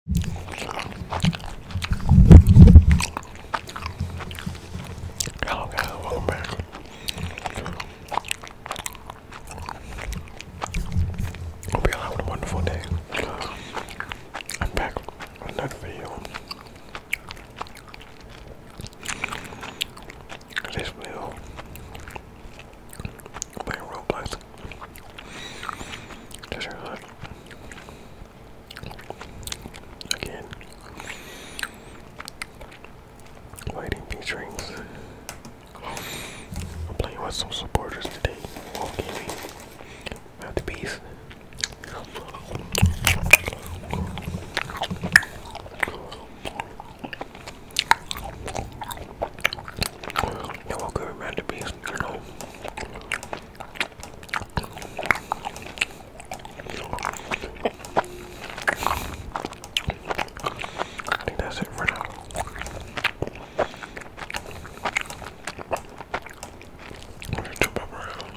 Hello guys, welcome back. Hope you all having a wonderful day. I'm back with another video. This video playing Roblox just relax. Again. Lighting featurings. I'm playing with some supporters today. Wolf Gaming. They will good recipes, you know. I think that's it for now. I'm gonna jump up around.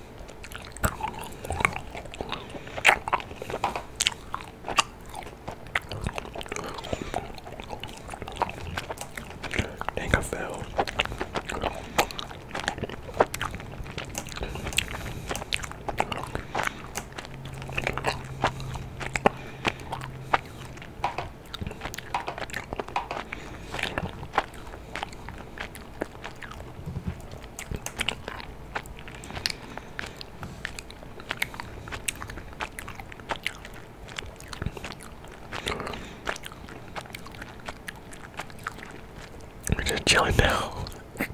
Dang, I fell. We're just chilling now.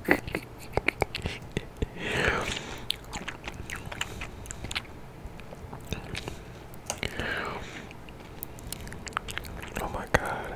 oh my god.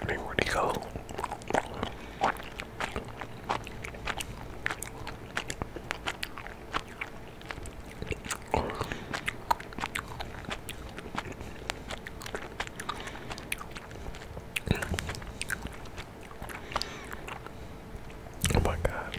Let me where'd go? Oh my god.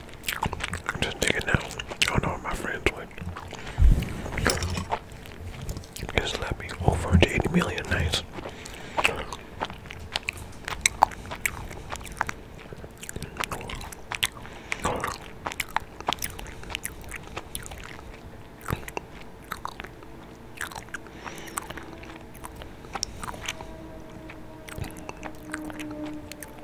I'm just digging oh, now. I know what my friends would. Just let me over 180 million nights.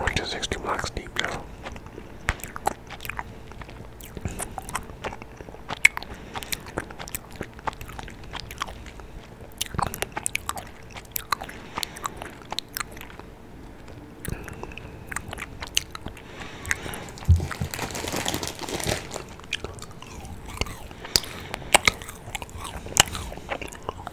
Which is 60 blocks deep now.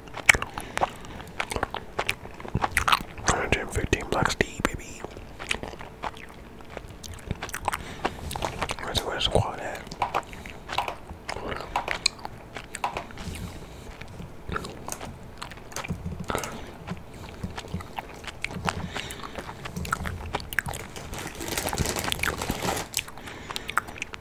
115 blocks D, baby. Where's the squad at?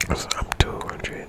I'm 200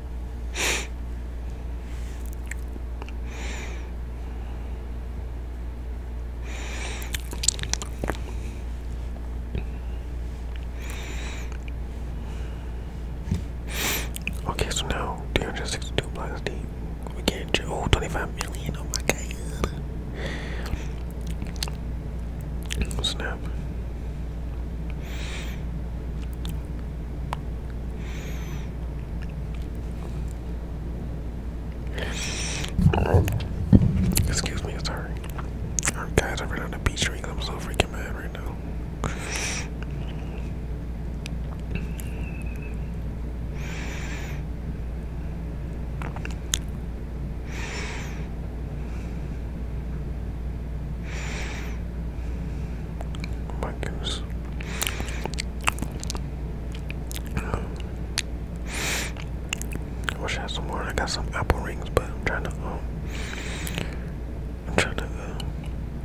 Okay, so now two hundred sixty-two blocks deep. We can't 25 million. Oh my god. Snap. Excuse me, sorry. All right, guys, are running on the beach drinks. I'm so freaking mad right now. My I wish I had some more. I got some apple rings, but I'm trying to um, I'm trying to uh,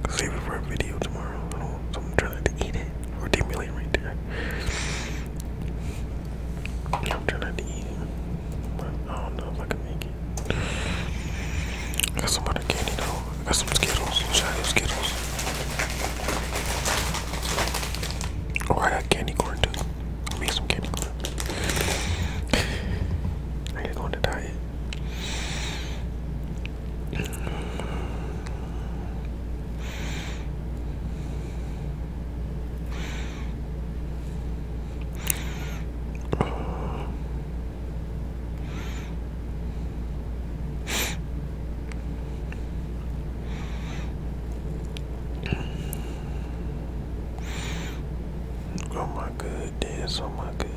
save it for a video tomorrow. I don't, so I'm trying to eat it or demulate right there. I'm trying to eat but I don't know if I can make it. Got some other candy though. Got some Skittles. Shiny Skittles. Oh, I got candy corn too. I made some candy corn. I ain't going to diet. On oh my goodness, oh my goodness.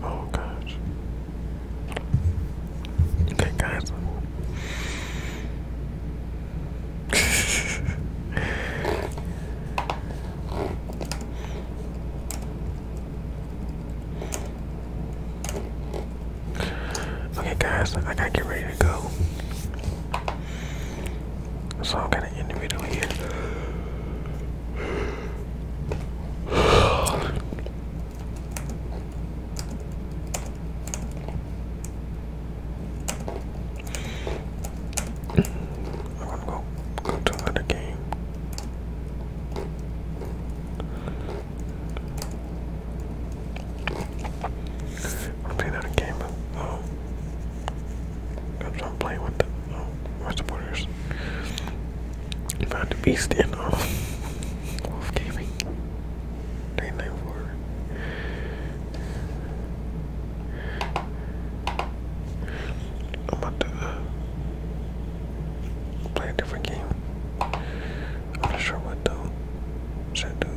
Oh gosh. Okay guys okay, guys, I gotta get ready to go. So I'm gonna in the middle here. I'm to go go to another game. I'm playing game. Um, I'm playing with um, my supporters. Found the beast in um, Wolf Gaming. Nine nine four. I'm about to uh, play a different game. I'm not sure what though. Should I do?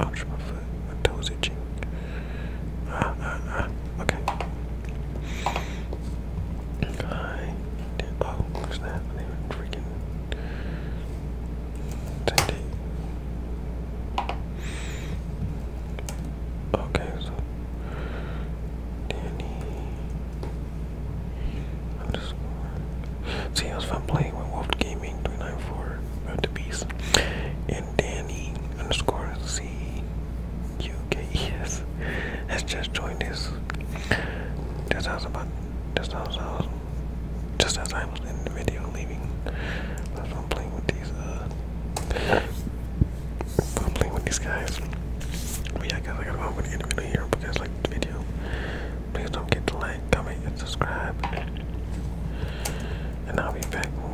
Ouch, my foot. toes itching. Ah, ah, ah. Okay. Hi. Oh, what's that? They were freaking. Okay, so Danny underscore. See, I was playing with Wolf Gaming 394 about and Danny underscore C U K E S guys has just joined us just as about just as I was in the video leaving. That's I'm playing with these uh I'm playing with these guys. But yeah guys gotta go with here because like video. Please don't forget to like, comment, and subscribe. And I'll be back with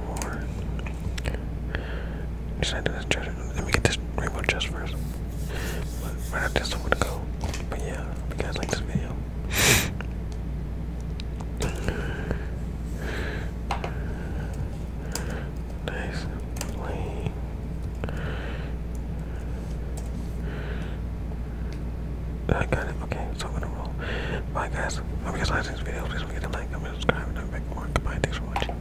Let me get this rainbow chest first. Right after this, I'm gonna go. But yeah, hope you guys like this video. nice plane. I got it. Okay, so I'm gonna roll. Bye guys. Hope you guys like this video. Please don't forget to like, comment, subscribe, and i make back more. Goodbye. Thanks for watching.